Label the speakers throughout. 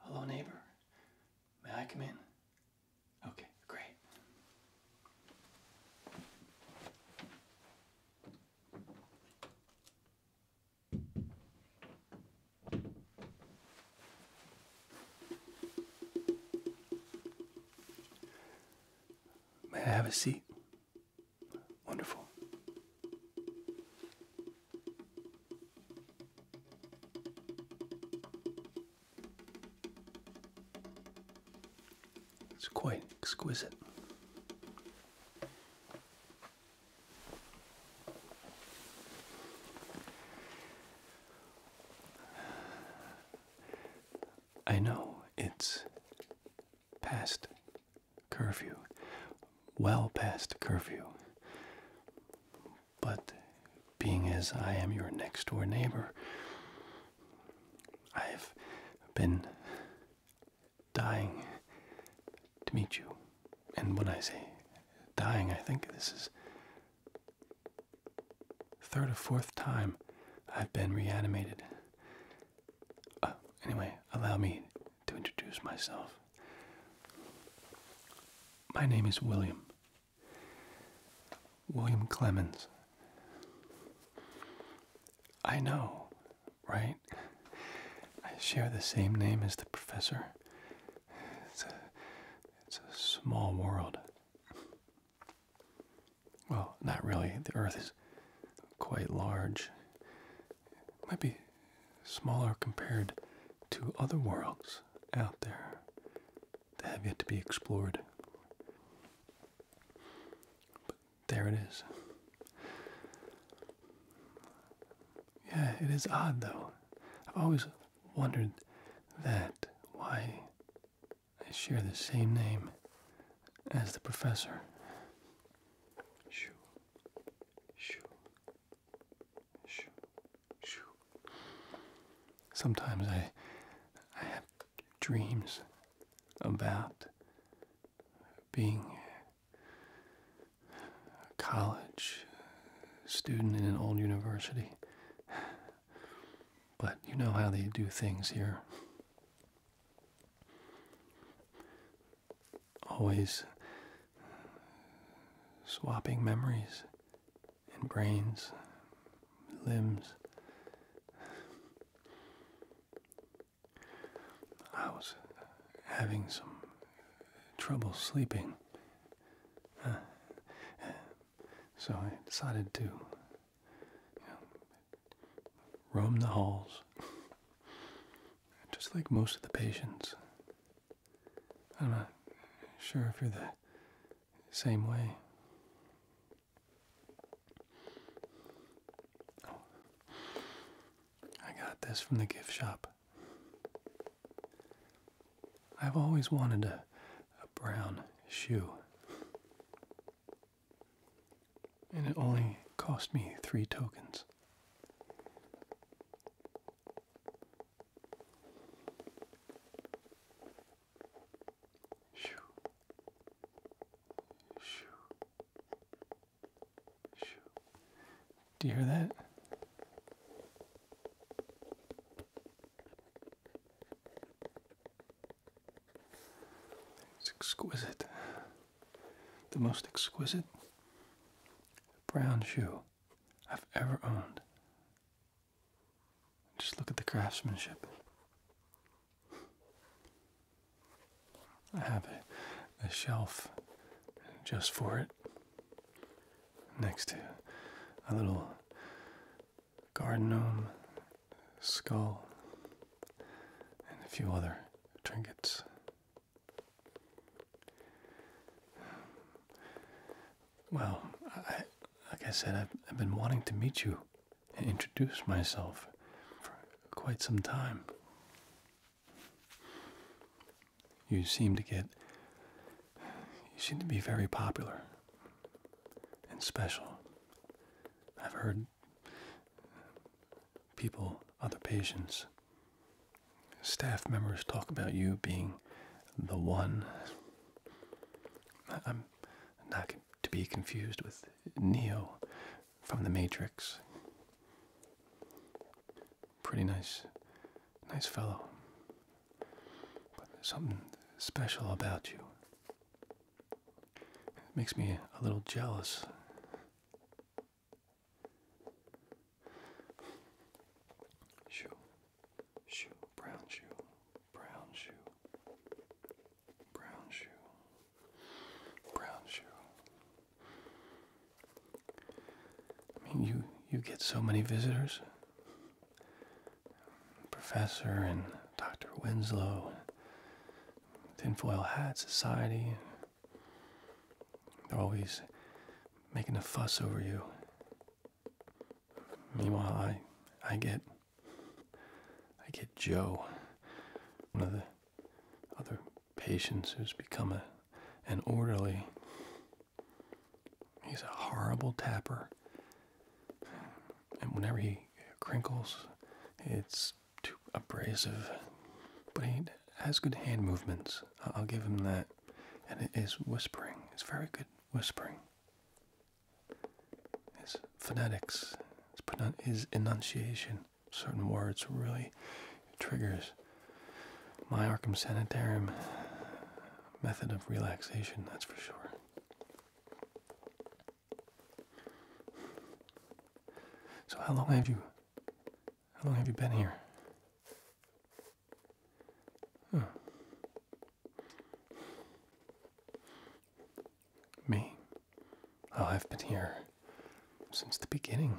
Speaker 1: Hello, neighbor. May I come in? Okay, great. May I have a seat? Wonderful. It's quite exquisite. I know it's past curfew, well past curfew, but being as I am your next door neighbor, I've been dying to meet you. And when I say dying, I think this is third or fourth time I've been reanimated. Uh, anyway, allow me to introduce myself. My name is William. William Clemens. I know, right? I share the same name as the professor. It's a, it's a small world. Well, not really. The Earth is quite large. It might be smaller compared to other worlds out there that have yet to be explored. There it is. Yeah, it is odd though. I've always wondered that why I share the same name as the professor. Shoo. Shoo. Shoo. Shoo. Sometimes I I have dreams about being a college student in an old university. But you know how they do things here. Always swapping memories and brains, limbs. I was having some trouble sleeping. Uh, so I decided to roam the halls, just like most of the patients. I'm not sure if you're the same way. Oh. I got this from the gift shop. I've always wanted a, a brown shoe. And it only cost me three tokens. Shoo. Shoo. Do you hear that? It's exquisite. The most exquisite brown shoe I've ever owned. Just look at the craftsmanship. I have a, shelf just for it next to a little garden gnome skull and a few other trinkets. Well, like I said, I've been wanting to meet you and introduce myself for quite some time. You seem to get. You seem to be very popular and special. I've heard people, other patients, staff members talk about you being the one. I'm not to be confused with Neo, from the Matrix. Pretty nice, nice fellow. But there's something special about you. It makes me a little jealous.
Speaker 2: Shoe, shoe, brown shoe, brown shoe, brown shoe, brown shoe.
Speaker 1: I mean, you you get so many visitors. Professor and Dr. Winslow, Tinfoil Hat Society. They're always making a fuss over you. Meanwhile, I, I get, I get Joe, one of the other patients who's become a, an orderly. He's a horrible tapper. And whenever he crinkles, it's too abrasive. But he has good hand movements. I'll give him that. And it is whispering. It's very good whispering. His phonetics, his, his enunciation certain words really triggers my Arkham Sanitarium method of relaxation, that's for sure. So how long have you how long have you been here? Me. Oh, I've been here since the beginning.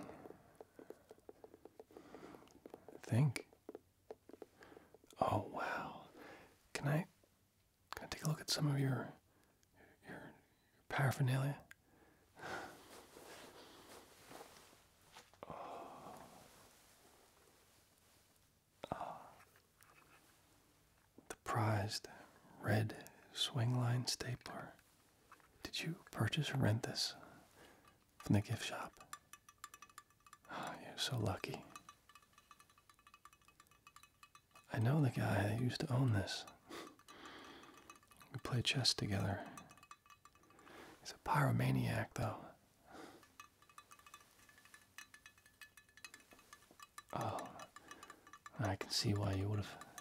Speaker 1: I think. Oh wow. Can I can I take a look at some of your your paraphernalia? oh. The prized red swing line stapler. Did you purchase or rent this from the gift shop? Ah, you're so lucky. I know the guy that used to own this. we played chess together. He's a pyromaniac, though. Oh, I can see why you would have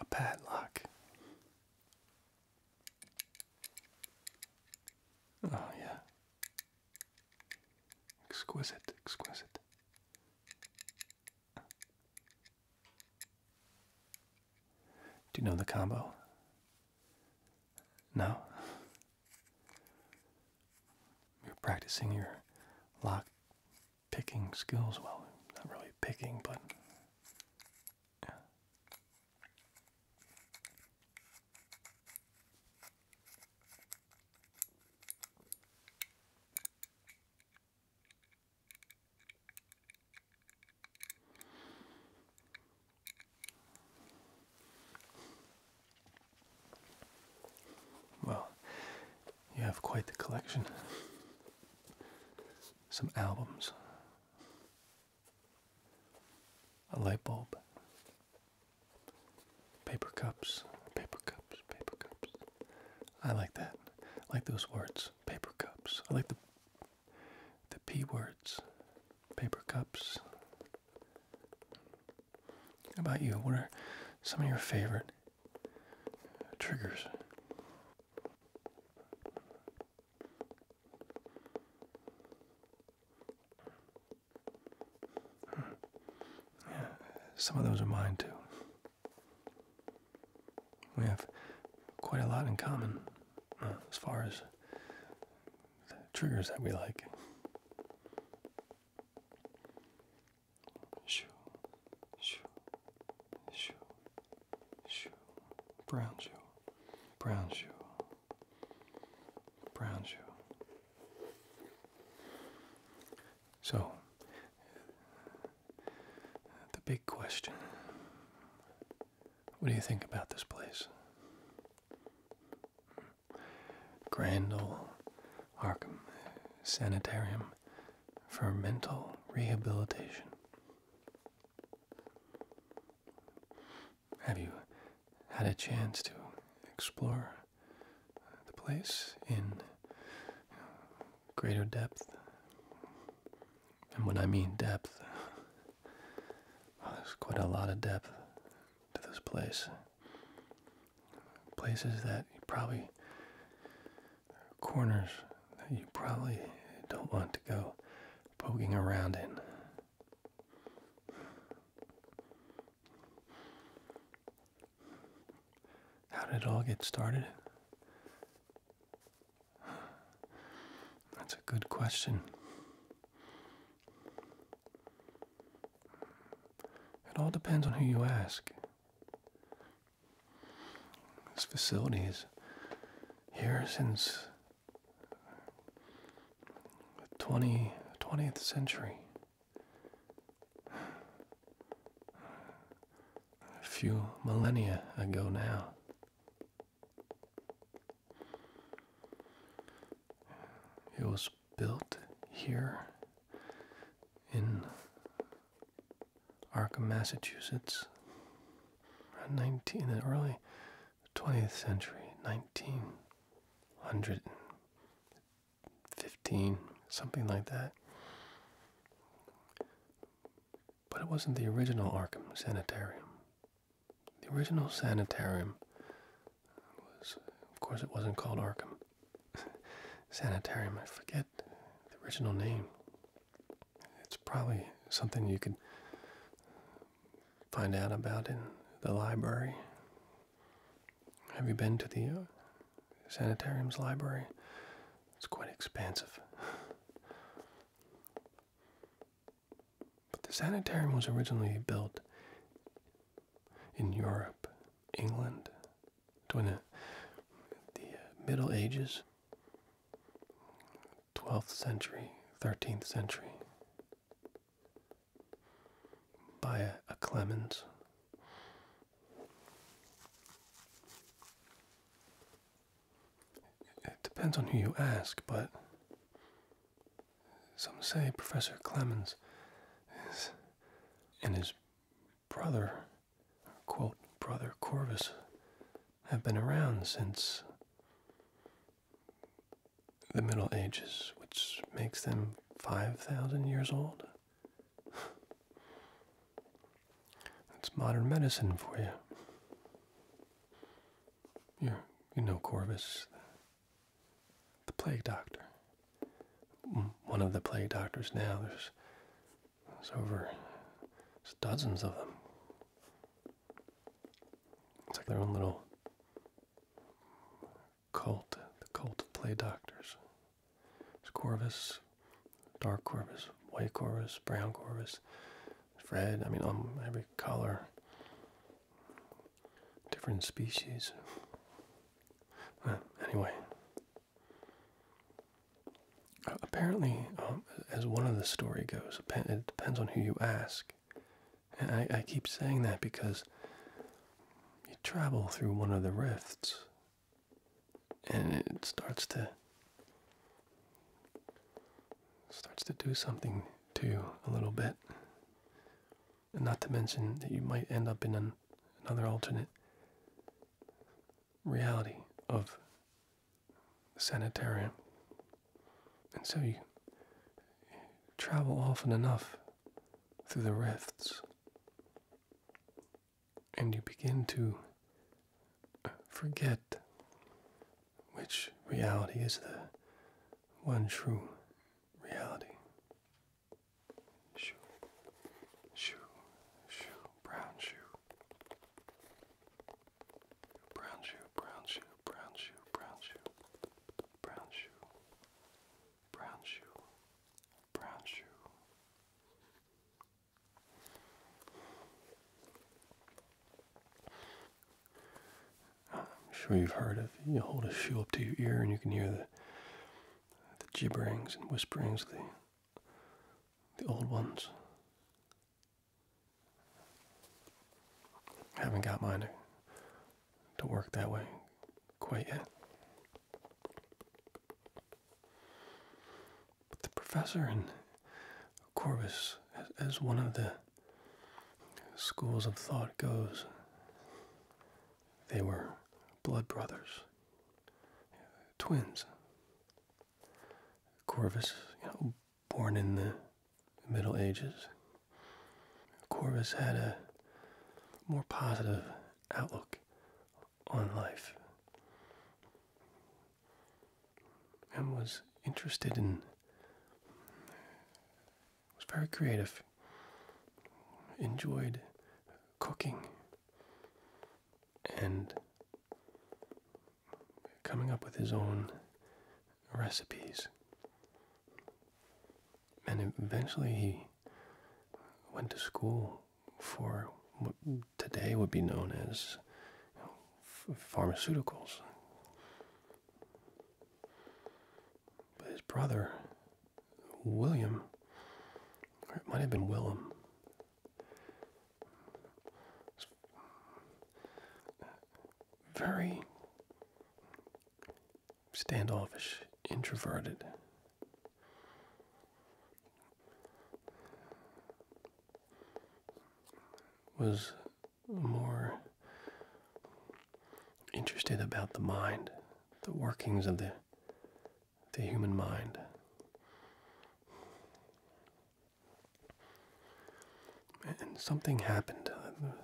Speaker 2: a
Speaker 1: padlock. Oh, yeah. Exquisite, exquisite. Do you know the combo? No? You're practicing your lock picking skills. Well, not really picking, but well, you have quite the collection. Some albums, a light bulb, paper cups, paper cups, paper cups. I like that. I like those words, paper cups. I like the the p words, paper cups, how about you? What are some of your favorite triggers? Yeah, some of those are mine too. We have quite a lot in common uh, as far as the triggers
Speaker 2: that we like. Brown shoe, brown shoe, brown shoe. So,
Speaker 1: the big question what do you think about this place? Grand Ole Arkham Sanitarium for mental rehabilitation. Have you had a chance to explore the place in greater depth? And when I mean depth, there's quite a lot of depth to this place. Places that you probably, corners that you probably don't want to go poking around in. How did it all get started? That's a good question. It all depends on who you ask. This facility is here since the 20, 20th century. A few millennia ago now. It was built here in Arkham, Massachusetts, nineteen in the early twentieth century, nineteen hundred fifteen, something like that. But it wasn't the original Arkham Sanitarium. The original sanitarium of course, it wasn't called Arkham Sanitarium. I forget the original name. It's probably something you could find out about in the library. Have you been to the uh, sanitarium's library? It's quite expansive. But the sanitarium was originally built in Europe, England, during the, uh, Middle Ages, 12th century, 13th century, by a, a Clemens. It depends on who you ask, but some say Professor Clemens and his brother, quote, brother Corvus, have been around since the Middle Ages, which makes them 5,000 years old. That's modern medicine for you. you you know Corvus, the plague doctor. One of the plague doctors now. There's, there's over dozens of them. It's like their own little cult, the cult of plague doctors. There's Corvus, dark Corvus, white Corvus, brown Corvus, red. I mean, um, every color different species. Uh, anyway, uh, apparently, um, as one of the story goes, it depends on who you ask. I, I keep saying that because you travel through one of the rifts and it starts to starts to do something to you a little bit and not to mention that you might end up in an, another alternate reality of sanitarium. And so you travel often enough through the rifts and you begin to forget which reality is the one true reality.
Speaker 2: Shoe, shoe, shoe, brown shoe. Brown shoe, brown shoe, brown shoe, brown shoe, brown shoe, brown shoe,
Speaker 1: I'm sure you've heard of. You hold a shoe up to your ear and you can hear the the gibberings and whisperings of the the old ones. I haven't got mine to, to work that way quite yet. But the professor and Corvus, as one of the schools of thought goes, they were blood brothers, twins. Corvus, you know, born in the Middle Ages. Corvus had a more positive outlook on life and was interested in was very creative, enjoyed cooking and coming up with his own recipes. And eventually he went to school for what today would be known as pharmaceuticals. But his brother William, or it might have been William. Very standoffish, introverted. Was more interested about the mind the workings of the the human mind. And something happened. There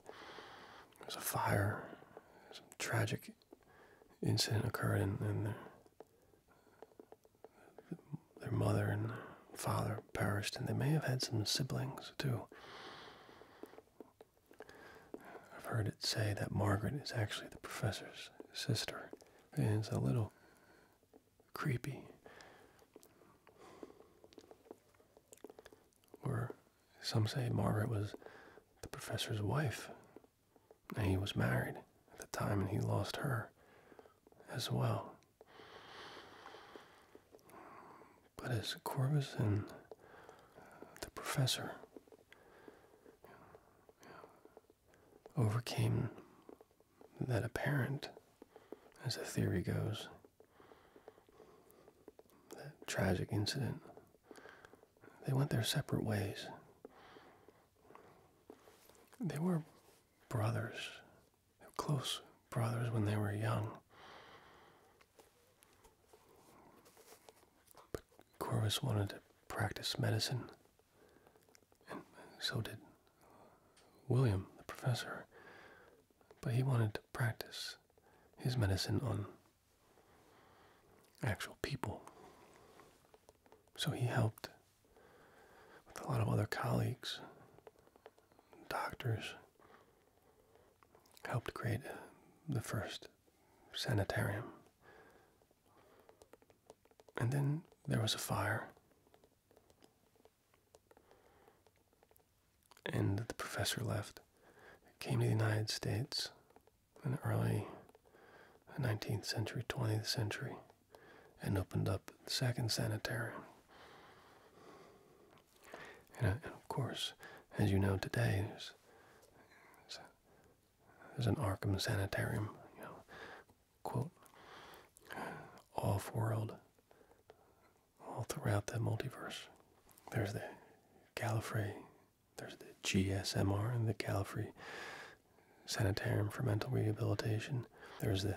Speaker 1: was a fire. Some tragic incident occurred, and, their mother and father perished, and they may have had some siblings too. I've heard it say that Margaret is actually the professor's sister, it's a little creepy. Or some say Margaret was the professor's wife, and he was married at the time, and he lost her as well but as Corvus and the professor overcame that apparent, as the theory goes, that tragic incident, they went their separate ways. They were brothers, close brothers when they were young. But Corvus wanted to practice medicine, and so did William, the professor. But he wanted to practice his medicine on actual people. So he helped with a lot of other colleagues, doctors, helped create the first sanitarium. And then there was a fire. And the professor left, came to the United States in the early 19th century, 20th century, and opened up the second sanitarium. And, uh, of course, as you know today, there's an Arkham Sanitarium, you know, quote, off world, all throughout the multiverse. There's the Gallifrey, there's the GSMR and the Gallifrey Sanitarium for Mental Rehabilitation. There's the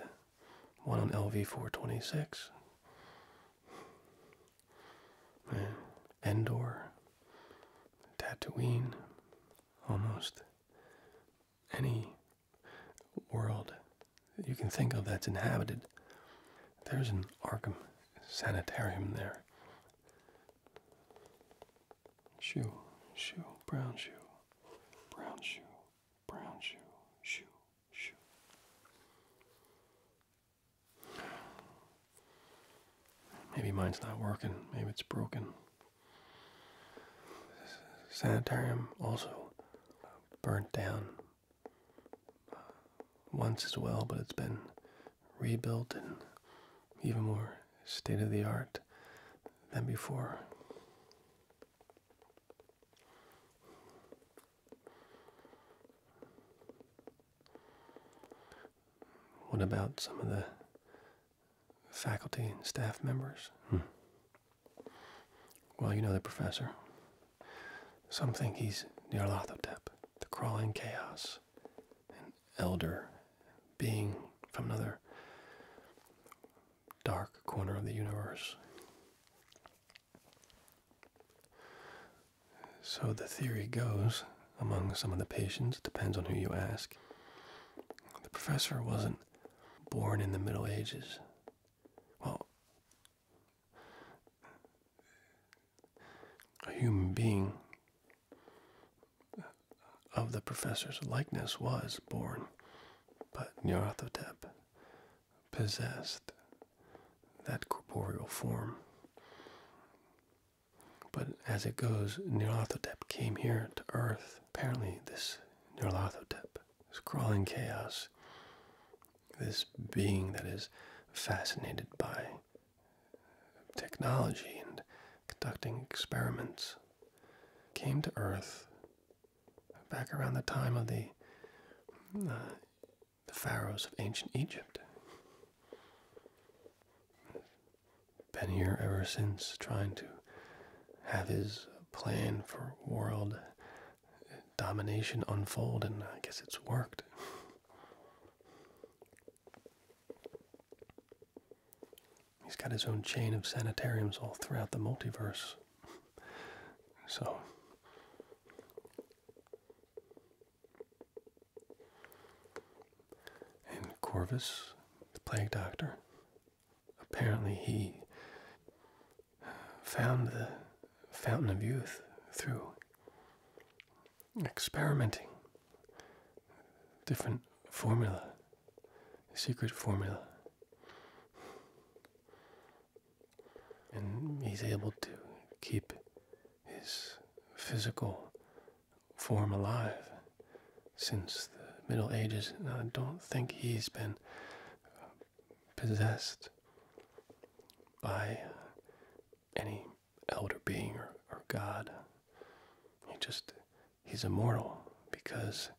Speaker 1: one on LV 426. Endor, Tatooine, almost any world that you can think of that's inhabited. There's an Arkham sanitarium there.
Speaker 2: Shoe, shoe, brown shoe, brown shoe, brown shoe, shoe, shoe.
Speaker 1: Maybe mine's not working. Maybe it's broken. Sanitarium also burnt down once as well, but it's been rebuilt and even more state of the art than before. What about some of the faculty and staff members? Hmm. Well, you know the professor. Some think he's the Nyarlathotep, the crawling chaos, an elder being from another dark corner of the universe. So the theory goes among some of the patients, depends on who you ask. The professor wasn't born in the Middle Ages. Well, a human being of the professor's likeness was born, but Nyarlathotep possessed that corporeal form. But as it goes, Nyarlathotep came here to Earth. Apparently, this Nyarlathotep, this crawling chaos, this being that is fascinated by technology and conducting experiments, came to Earth back around the time of the uh, the pharaohs of ancient Egypt. Been here ever since, trying to have his plan for world domination unfold, and I guess it's worked. He's got his own chain of sanitariums all throughout the multiverse. So, and Corvus, the plague doctor, apparently he found the fountain of youth through experimenting different formula, secret formula. And he's able to keep his physical form alive since the Middle Ages. I don't think he's been uh, possessed by any elder being or, or God. He just, he's immortal because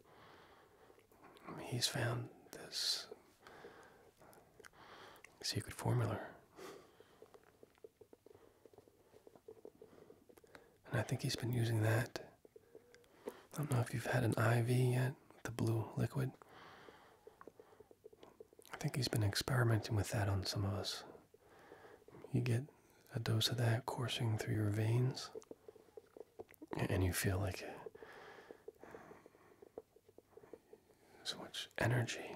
Speaker 1: he's found this secret formula and I think he's been using that. I don't know if you've had an IV yet, with the blue liquid. I think he's been experimenting with that on some of us. You get a dose of that coursing through your veins, and you feel like so much energy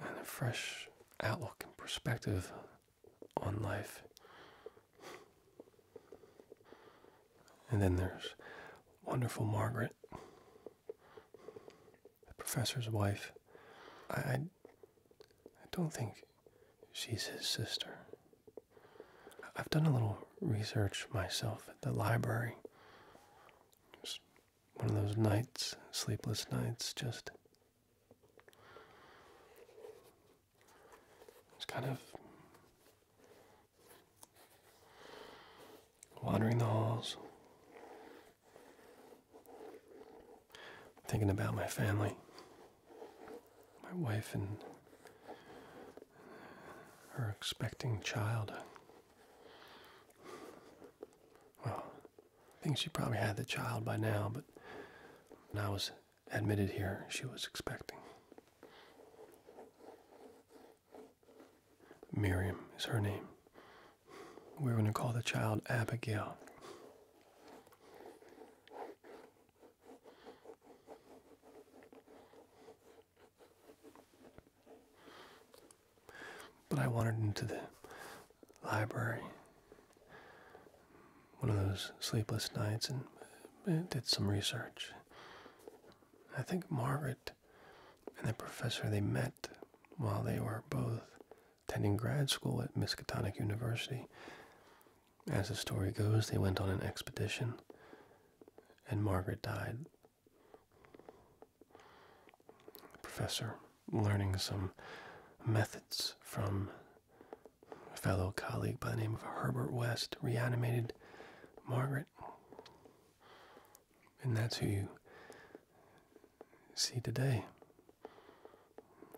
Speaker 1: and a fresh outlook and perspective on life. And then there's wonderful Margaret, the professor's wife. I, I, don't think she's his sister. I've done a little research myself at the library one of those nights, sleepless nights, just. It's kind of wandering the halls, thinking about my family, my wife, and her expecting child. Well, I think she probably had the child by now, but when I was admitted here, she was expecting. Miriam is her name. We are going to call the child Abigail. But I wandered into the library one of those sleepless nights and uh, did some research. I think Margaret and the professor they met while they were both attending grad school at Miskatonic University. As the story goes, they went on an expedition and Margaret died professor learning some methods from a fellow colleague by the name of Herbert West reanimated Margaret. And that's who you see today.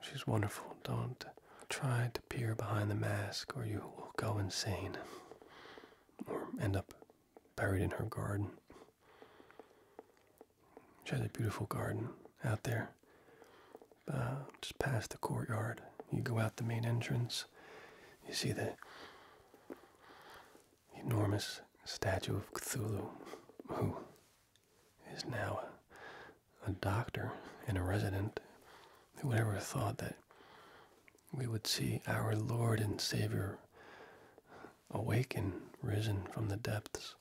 Speaker 1: She's wonderful. Don't try to peer behind the mask or you will go insane or end up buried in her garden. She has a beautiful garden out there. Uh, just past the courtyard, you go out the main entrance. You see the enormous statue of Cthulhu, who is now a, doctor and a resident. Who would ever thought that we would see our Lord and Savior, awaken, risen from the depths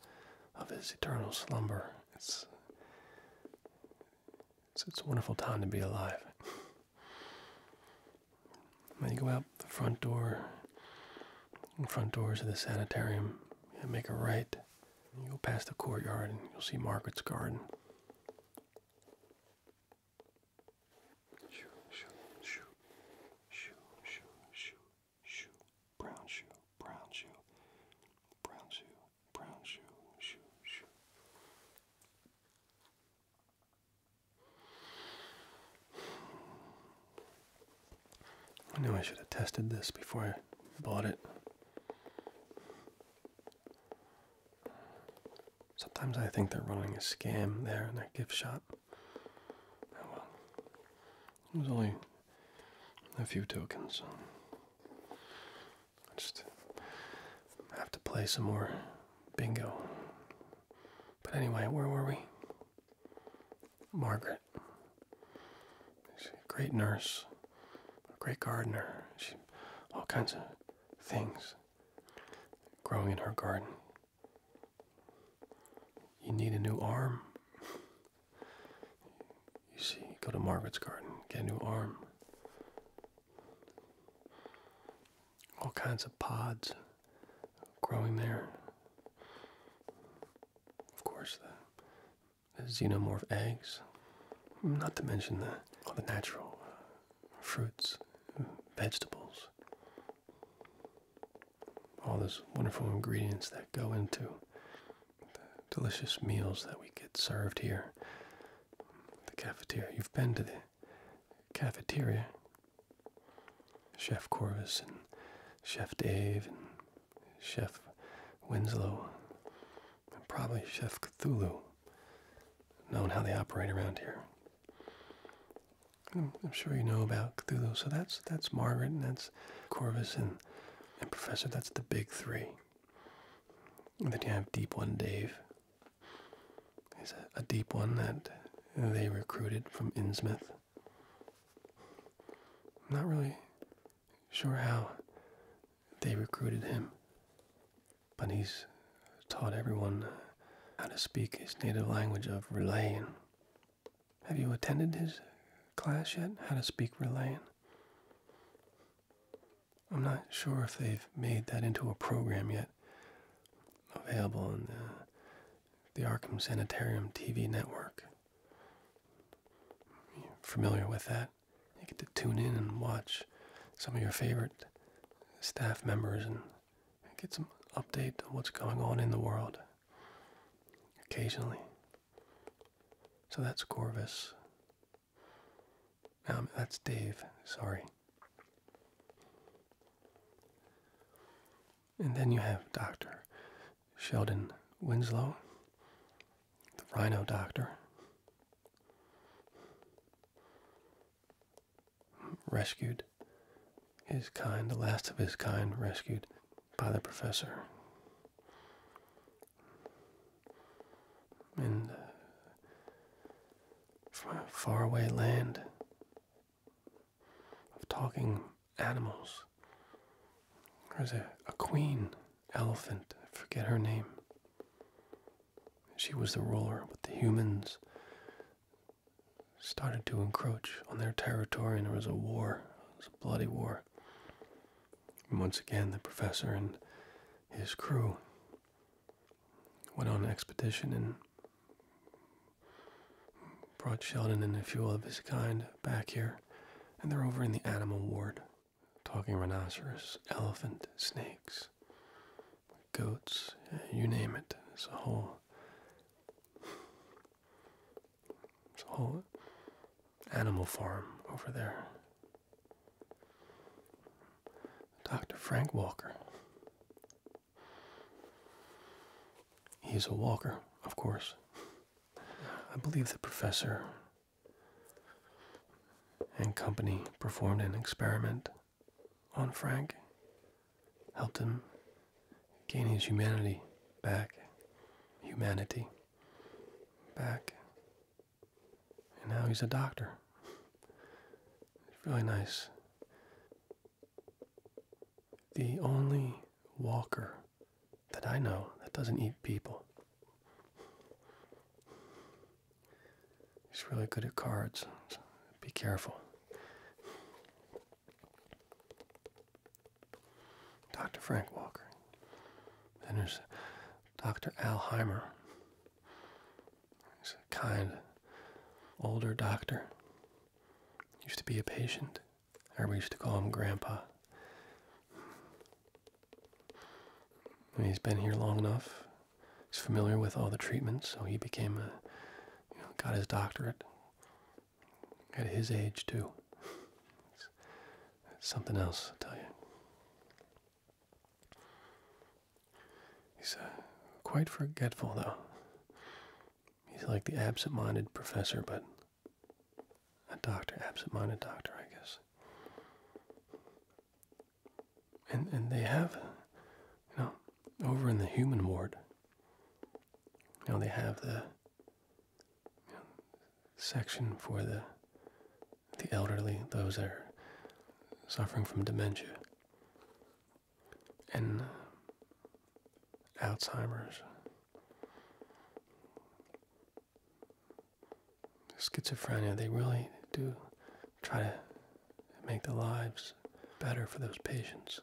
Speaker 1: of his eternal slumber. It's it's, a wonderful time to be alive. When you go out the front door, front doors of the sanitarium, and make a right. You go past the courtyard, and you'll see Margaret's garden
Speaker 2: shoe, brown shoe, brown shoe, brown shoe, brown shoe, shoe, shoe. I knew I should have tested
Speaker 1: this before I bought it. Sometimes I think they're running a scam there in that gift shop. There's only a few tokens, I just have to play some more bingo. But anyway, where were we? Margaret. She's a great nurse, a great gardener. She all kinds of things growing in her garden. You need a new arm. You see, go to Margaret's garden, get a new arm. All kinds of pods growing there. Of course, the, xenomorph eggs, not to mention the, all the natural uh, fruits, vegetables all those wonderful ingredients that go into the delicious meals that we get served here. The cafeteria. You've been to the cafeteria. Chef Corvus and Chef Dave and Chef Winslow and probably Chef Cthulhu, Knowing how they operate around here. I'm, sure you know about Cthulhu. So that's that's Margaret and that's Corvus and, and Professor. That's the big three. then you have Deep One Dave. He's a, deep one that they recruited from Innsmouth. I'm not really sure how they recruited him, but he's taught everyone how to speak his native language of Relayan. Have you attended his class yet? How to speak Relayan? I'm not sure if they've made that into a program yet. Available on the, the Arkham Sanitarium TV network. You're familiar with that? You get to tune in and watch some of your favorite staff members and get some update on what's going on in the world occasionally. So that's Corvus. Um, that's Dave, sorry. And then you have Dr. Sheldon Winslow, the rhino doctor. Rescued his kind, the last of his kind, rescued by the professor. in from a faraway land of talking animals, There was a queen elephant, I forget her name. She was the ruler, but the humans started to encroach on their territory, and there was a war. It was a bloody war. And once again, the professor and his crew went on an expedition and brought Sheldon and a few of his kind back here, and they're over in the animal ward, talking rhinoceros, elephant, snakes, goats, you name it. It's a whole there's a whole animal farm over there. Dr. Frank Walker. He's a walker, of course. I believe the professor and company performed an experiment on Frank helped him gain his humanity back. Humanity back. And now he's a doctor. It's really nice. The only walker that I know that doesn't eat people. He's really good at cards. be careful. Dr. Frank Walker. Then there's Dr. Al He's a kind, older doctor. Used to be a patient. Everybody used to call him Grandpa. he's been here long enough. He's familiar with all the treatments, so he became a, got his doctorate, at his age, too. It's, something else, I tell you. He's uh, quite forgetful, though. He's like the absent minded professor, but a doctor, absent minded doctor, I guess. And, and they have, you know, over in the human ward, now they have the section for the the elderly, those that are suffering from dementia and uh, Alzheimer's, schizophrenia. They really do try to make the lives better for those patients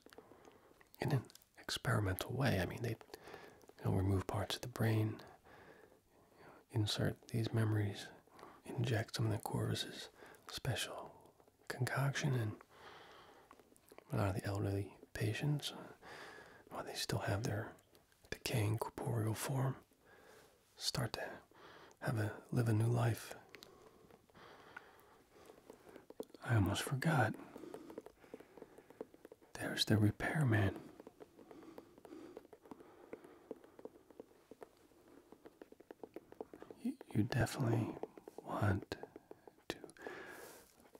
Speaker 1: experimental way. I mean, they remove parts of the brain, insert these memories, inject some of the Corvus's special concoction, and a lot of the elderly patients, while they still have their decaying corporeal form, start to have a live a new life. I almost forgot. There's the repairman. You, definitely want to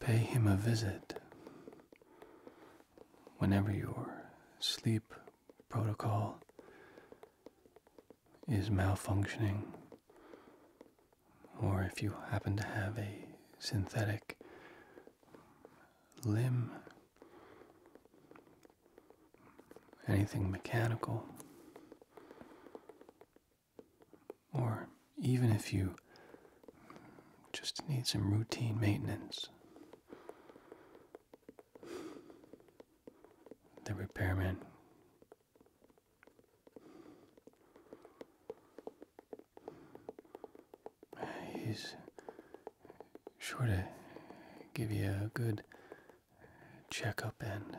Speaker 1: pay him a visit whenever your sleep protocol is malfunctioning or if you happen to have a synthetic limb, anything mechanical, or even if you just need some routine maintenance. The repairman He's sure to give you a good checkup and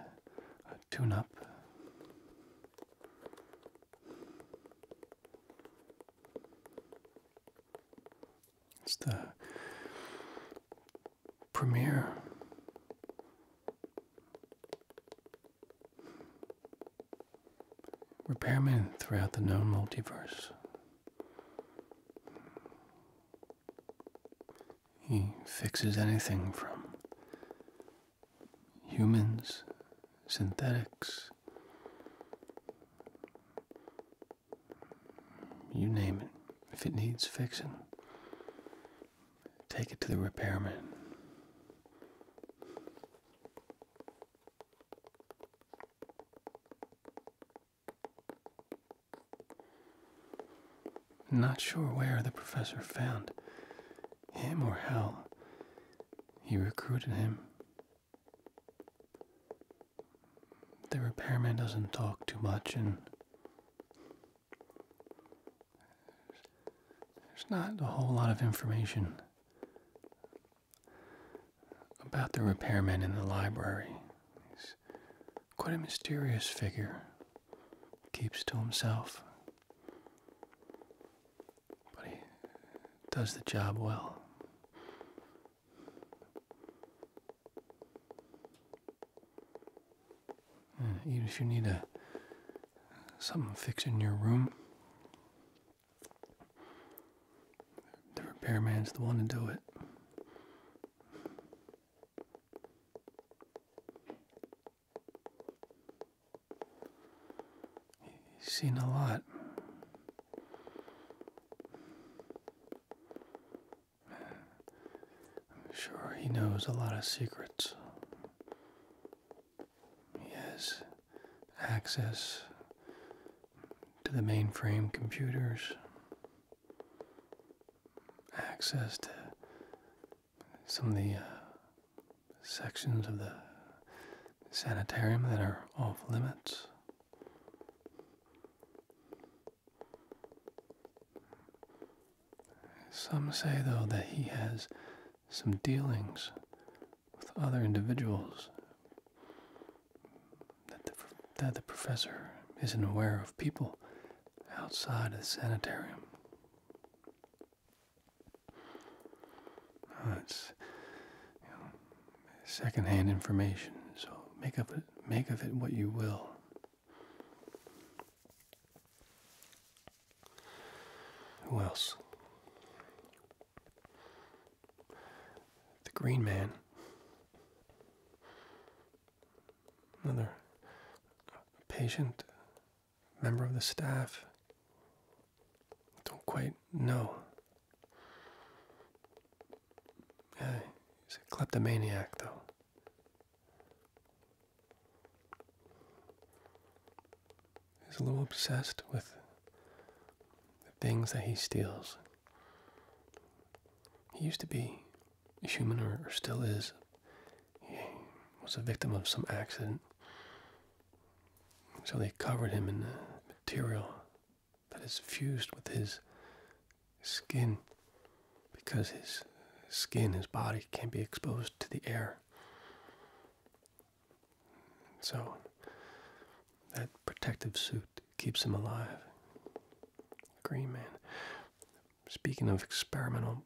Speaker 1: tune up. It's the premier Repairman throughout the known multiverse. He fixes anything from humans, synthetics, you name it. If it needs fixing, take it to the repairman. Not sure where the professor found him or how he recruited him. The repairman doesn't talk too much and there's not a whole lot of information about the repairman in the library. He's quite a mysterious figure, keeps to himself, but he does the job well. Hmm, even if you need a something fixing your room. The repairman's the one to do it. He's seen a lot. I'm sure he knows a lot of secrets. He has access to the mainframe computers, access to some of the uh, sections of the sanitarium that are off limits. Some say, though, that he has some dealings with other individuals that the, that the professor isn't aware of people outside of the sanitarium. Uh, it's secondhand information, so make up make of it what you will. Who else? The Green Man. Another patient member of the staff. Don't quite know. Yeah, he's a kleptomaniac, though is a little obsessed with the things that he steals. He used to be a human, or, still is. He was a victim of some accident. So they covered him in material that is fused with his skin because his skin, his body, can't be exposed to the air. So that protective suit keeps him alive. Green man. Speaking of experimental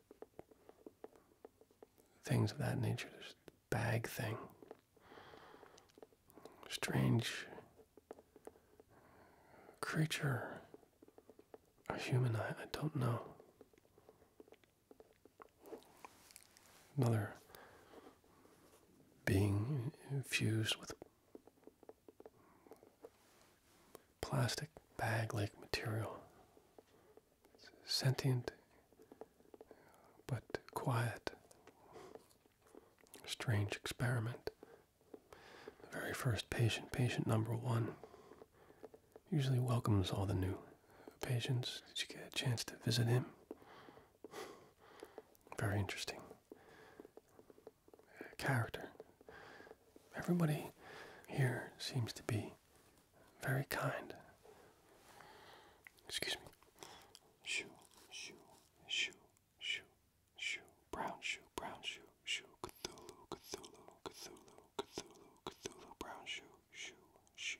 Speaker 1: things of that nature, this bag thing. Strange creature. A human, I, I don't know. Another being infused with plastic bag like material. sentient but quiet. Strange experiment. The very first patient, patient number one, usually welcomes all the new patients Did you get a chance to visit him. Very interesting character. Everybody here seems to be
Speaker 2: very kind. Excuse me. Shoe, shoe, shoe, shoe, shoe, brown shoe, brown shoe, shoe, Cthulhu, Cthulhu, Cthulhu, Cthulhu, Cthulhu, brown shoe, shoe, shoe,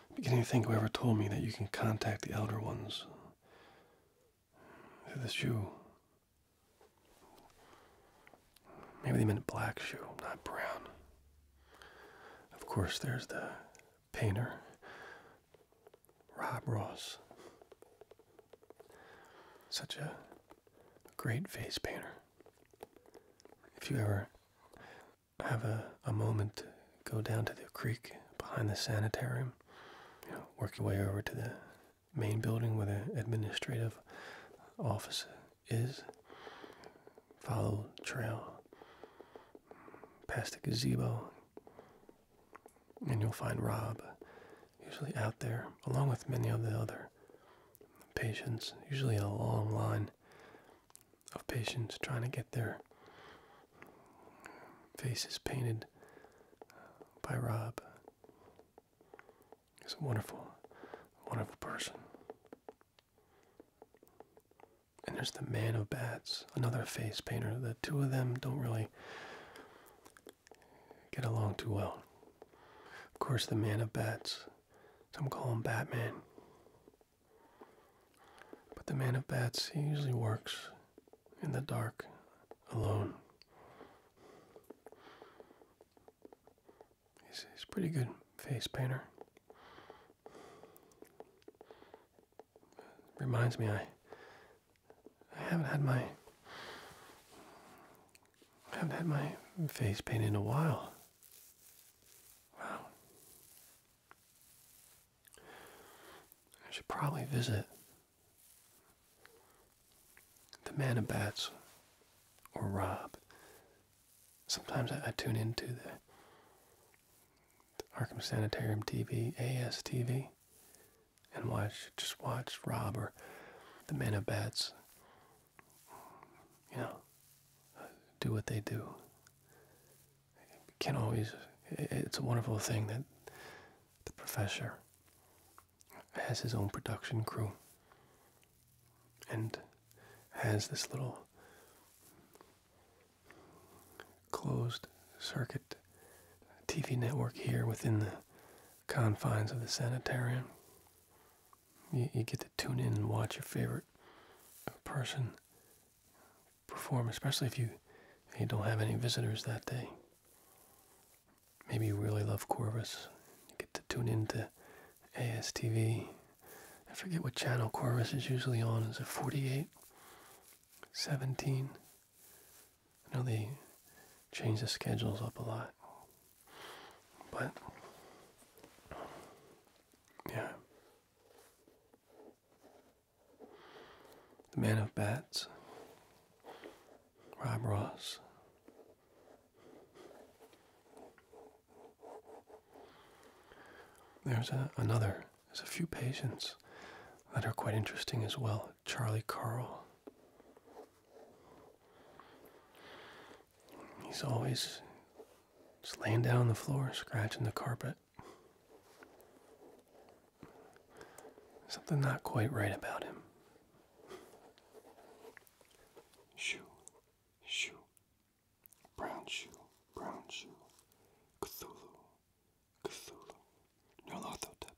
Speaker 1: beginning to think whoever told me that you can contact the Elder Ones This shoe. Maybe they meant black shoe, not brown. Of course, there's the painter, Rob Ross. Such a great face painter. If you ever have a, a moment to go down to the creek behind the sanitarium, work your way over to the main building where the administrative office is. Follow trail past the gazebo, and you'll find Rob usually out there, along with many of the other patients, usually a long line of patients trying to get their faces painted uh, by Rob. He's a wonderful, wonderful person. And there's the Man of Bats, another face painter. The two of them don't really get along too well. Of course, the Man of Bats, some call him Batman, but the man of bats, he usually works in the dark alone. He's, a pretty good face painter. Reminds me, I, haven't had my haven't had my face painted in a while. Wow. I should probably visit the Man Bats or Rob. Sometimes I, tune into the, Arkham Sanitarium TV, ASTV, and watch just watch Rob or the Man Bats. You know, do what they do can always, it's a wonderful thing that the professor has his own production crew and has this little closed circuit TV network here within the confines of the sanitarium. You, you get to tune in and watch your favorite person perform, especially if you, don't have any visitors that day. Maybe you really love Corvus. You get to tune into ASTV. I forget what channel Corvus is usually on. Is it 48? 17? I know they change the schedules up a lot. But, yeah the man of bats, Rob Ross. There's a, another, there's a few patients that are quite interesting as well. Charlie Carl. He's always just laying down on the floor, scratching the carpet. Something not quite right about him.
Speaker 2: Shoe, shoe, brown shoe, brown shoe, Cthulhu, Cthulhu, Nerlothotep,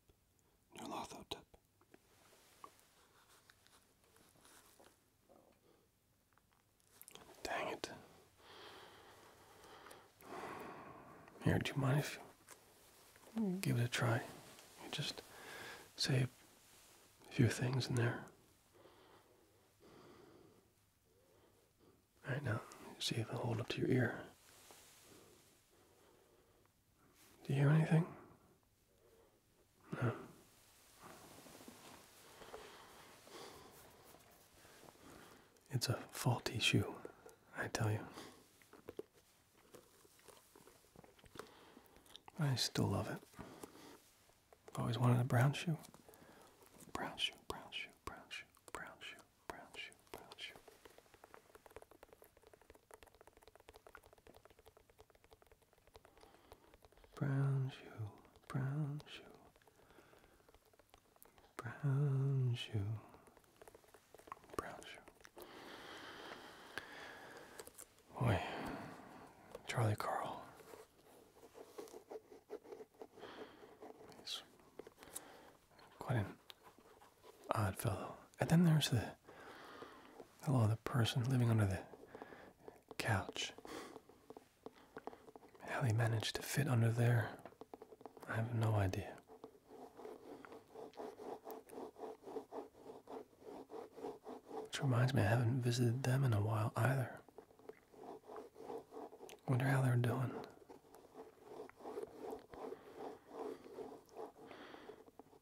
Speaker 2: Nerlothotep.
Speaker 1: Dang it. Here, do you mind if you give it a try? You just say a few things in there. All right now, see if I hold up to your ear. Do you hear anything? No. It's a faulty shoe, I tell you.
Speaker 2: I still love it. Always wanted a brown shoe. Brown shoe, brown shoe, brown shoe, brown shoe, brown shoe, brown shoe. Brown shoe, brown shoe, brown shoe, brown shoe. Boy, Charlie
Speaker 1: Carl. He's quite an odd fellow. And then there's the hello, the person living under the couch. How he managed to fit under there, I have no idea. Which reminds me, I haven't visited them in a while either. Wonder how they're doing.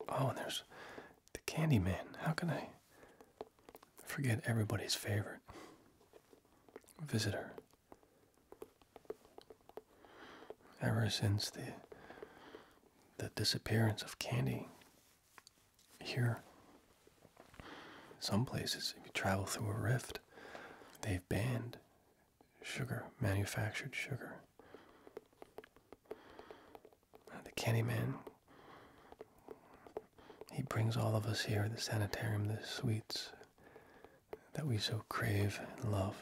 Speaker 1: Oh, and there's the Candyman. How can I forget everybody's favorite visitor? Ever since the the disappearance of candy here, some places, if you travel through a rift, they've banned sugar, manufactured sugar. Uh, the candy man, he brings all of us here, the sanitarium, the sweets, that we so crave and love.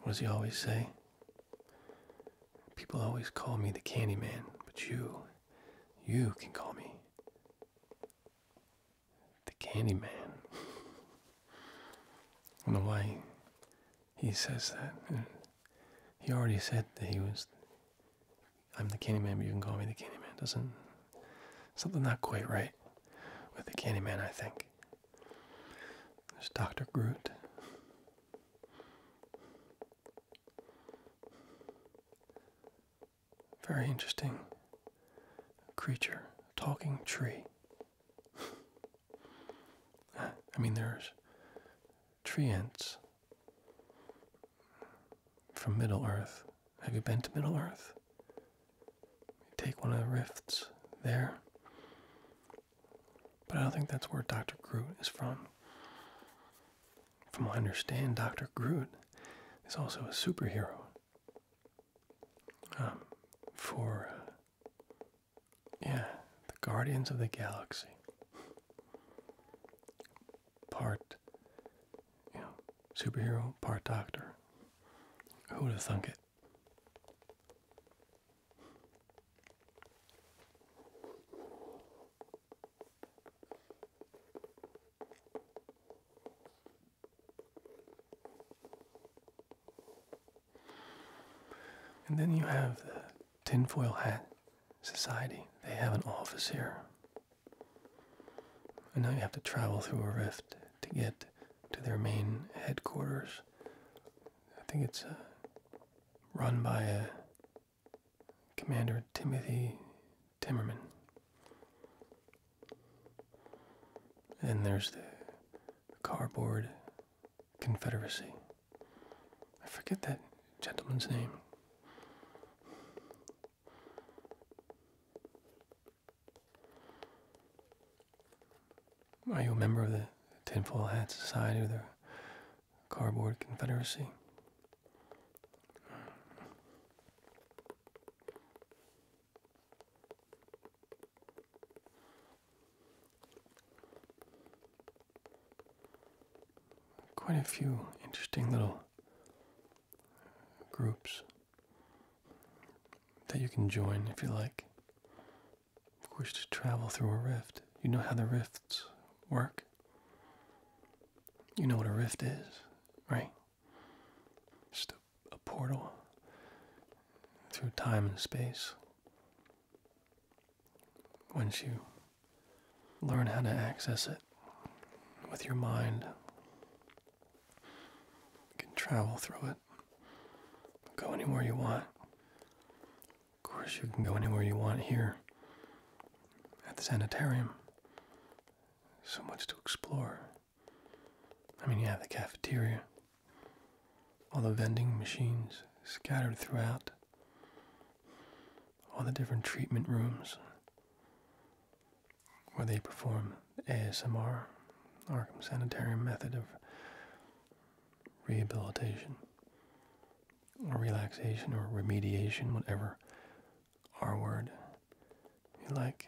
Speaker 1: What does he always say? People always call me the candy man, but you, you can call me the candy man.
Speaker 2: I
Speaker 1: don't know why he says that. He already said that he was I'm the Candyman, but you can call me the Candyman. Doesn't something not quite right with the Candyman? I think. There's Doctor Groot. Very interesting creature, talking tree. I mean, there's tree ants from Middle Earth. Have you been to Middle Earth? take one of the rifts there. But I don't think that's where Dr. Groot is from. From what I understand, Dr. Groot is also a superhero um, for, yeah, the Guardians of the Galaxy part you know, superhero, part doctor. Who would have thunk it? And then you have the tinfoil hat society. They have an office here. And now you have to travel through a rift to get to their main headquarters. I think it's uh, run by uh, Commander Timothy Timmerman. And there's the Cardboard Confederacy. I forget that gentleman's name. Are you a member of the Tinfoil Hat Society or the Cardboard Confederacy? quite a few interesting little groups that you can join if you like. Of course, to travel through a rift, you know how the rifts work. You know what a rift is, right? Just a, a portal through time and space once you learn how to access it with your mind, you can travel through it, go anywhere you want. Of course, you can go anywhere you want here at the sanitarium. So much to explore. I mean, you have the cafeteria, all the vending machines scattered throughout all the different treatment rooms where they perform ASMR, Arkham Sanitarium method of rehabilitation or relaxation or remediation, whatever
Speaker 2: R word you like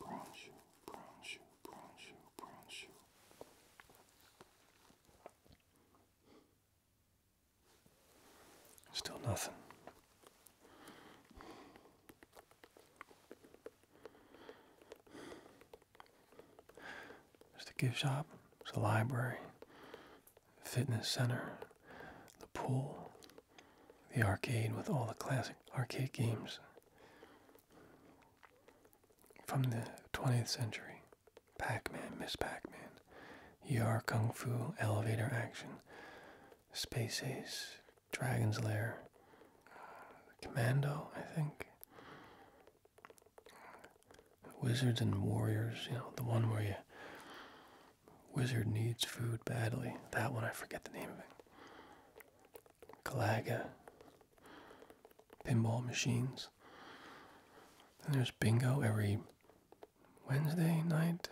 Speaker 2: brown shoe, brown shoe, brown shoe, brown shoe.
Speaker 1: Still nothing. There's the gift shop, there's the library, fitness center, the pool, the arcade with all the classic arcade games, from the 20th century, Pac Man, Miss Pac Man, Yar Kung Fu, Elevator Action, Space Ace, Dragon's Lair, Commando, I think. Wizards and Warriors, you know, the one where the Wizard needs food badly. That one, I forget the name of it. Galaga, pinball machines. And there's bingo every Wednesday night.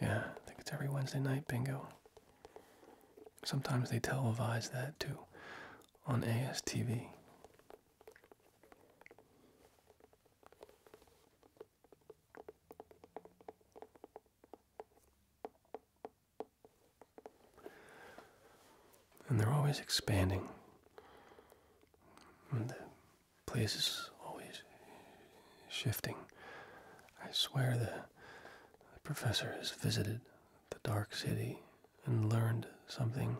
Speaker 1: Yeah, I think it's every Wednesday night bingo. Sometimes they televise that too on ASTV. And they're always expanding. And the place is always shifting. I swear the, the professor has visited the dark city and learned something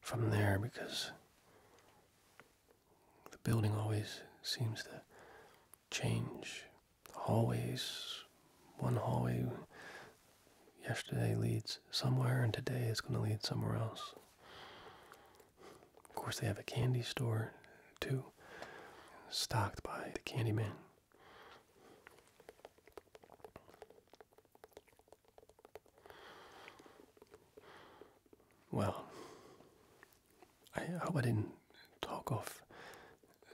Speaker 1: from there because the building always seems to change hallways. One hallway yesterday leads somewhere, and today is going to lead somewhere else. Of course, they have a candy store too, stocked by the Candyman. Well, I hope I didn't talk off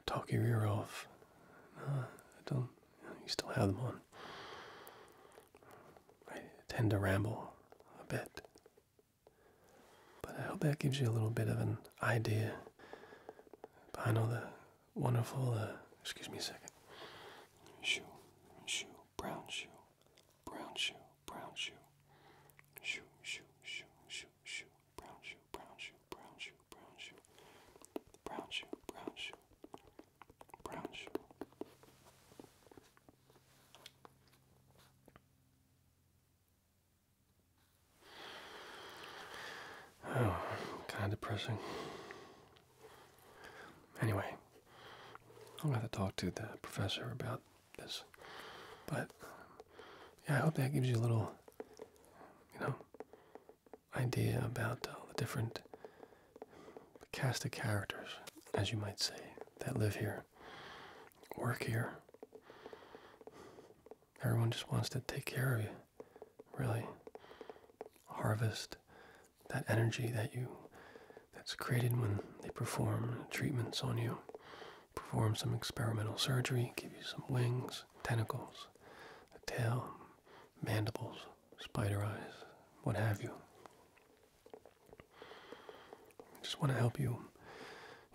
Speaker 1: talk your off. I don't. You still have them on. I tend to ramble a bit, but I hope that gives you a little bit of an idea behind all the wonderful. Uh,
Speaker 2: excuse me a second. Shoe, shoe, brown shoe, brown shoe, brown shoe, shoe, shoe, shoe, shoe, shoe, brown shoe brown shoe, brown shoe, brown shoe, brown shoe, brown shoe,
Speaker 1: Oh, kind of depressing. Anyway, I'm gonna have to talk to the professor about this, but um, yeah, I hope that gives you a little, you know, idea about uh, the different cast of characters, as you might say, that live here, work here. Everyone just wants to take care of you, really. Harvest that energy that you that's created when they perform treatments on you, perform some experimental surgery, give you some wings, tentacles, a tail, mandibles, spider eyes, what have you. I just want to help you,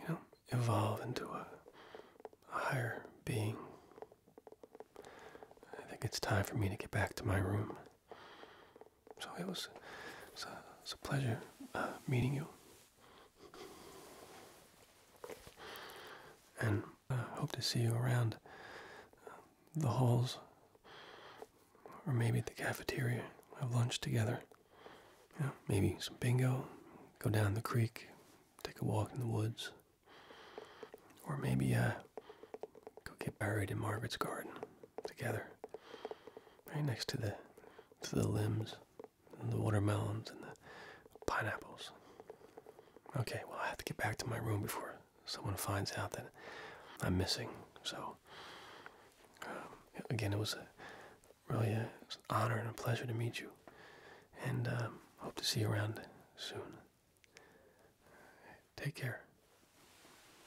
Speaker 1: you know, evolve into a, higher being. I think it's time for me to get back to my room. So it was, it a, pleasure uh, meeting you and uh, hope to see you around uh, the halls or maybe the cafeteria. Have lunch together. maybe some bingo, go down the creek, take a walk in the woods, or maybe uh, go get buried in Margaret's garden together, right next to the to the limbs and the watermelons and the pineapples. Okay, well, I have to get back to my room before someone finds out that I'm missing. So, um, again, it was really an honor and a pleasure to meet you. And um, hope to see you around soon.
Speaker 2: Take care.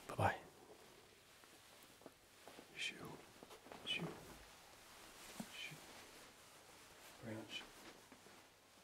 Speaker 2: Bye bye. Shoo. Shoo. Shoo. Branch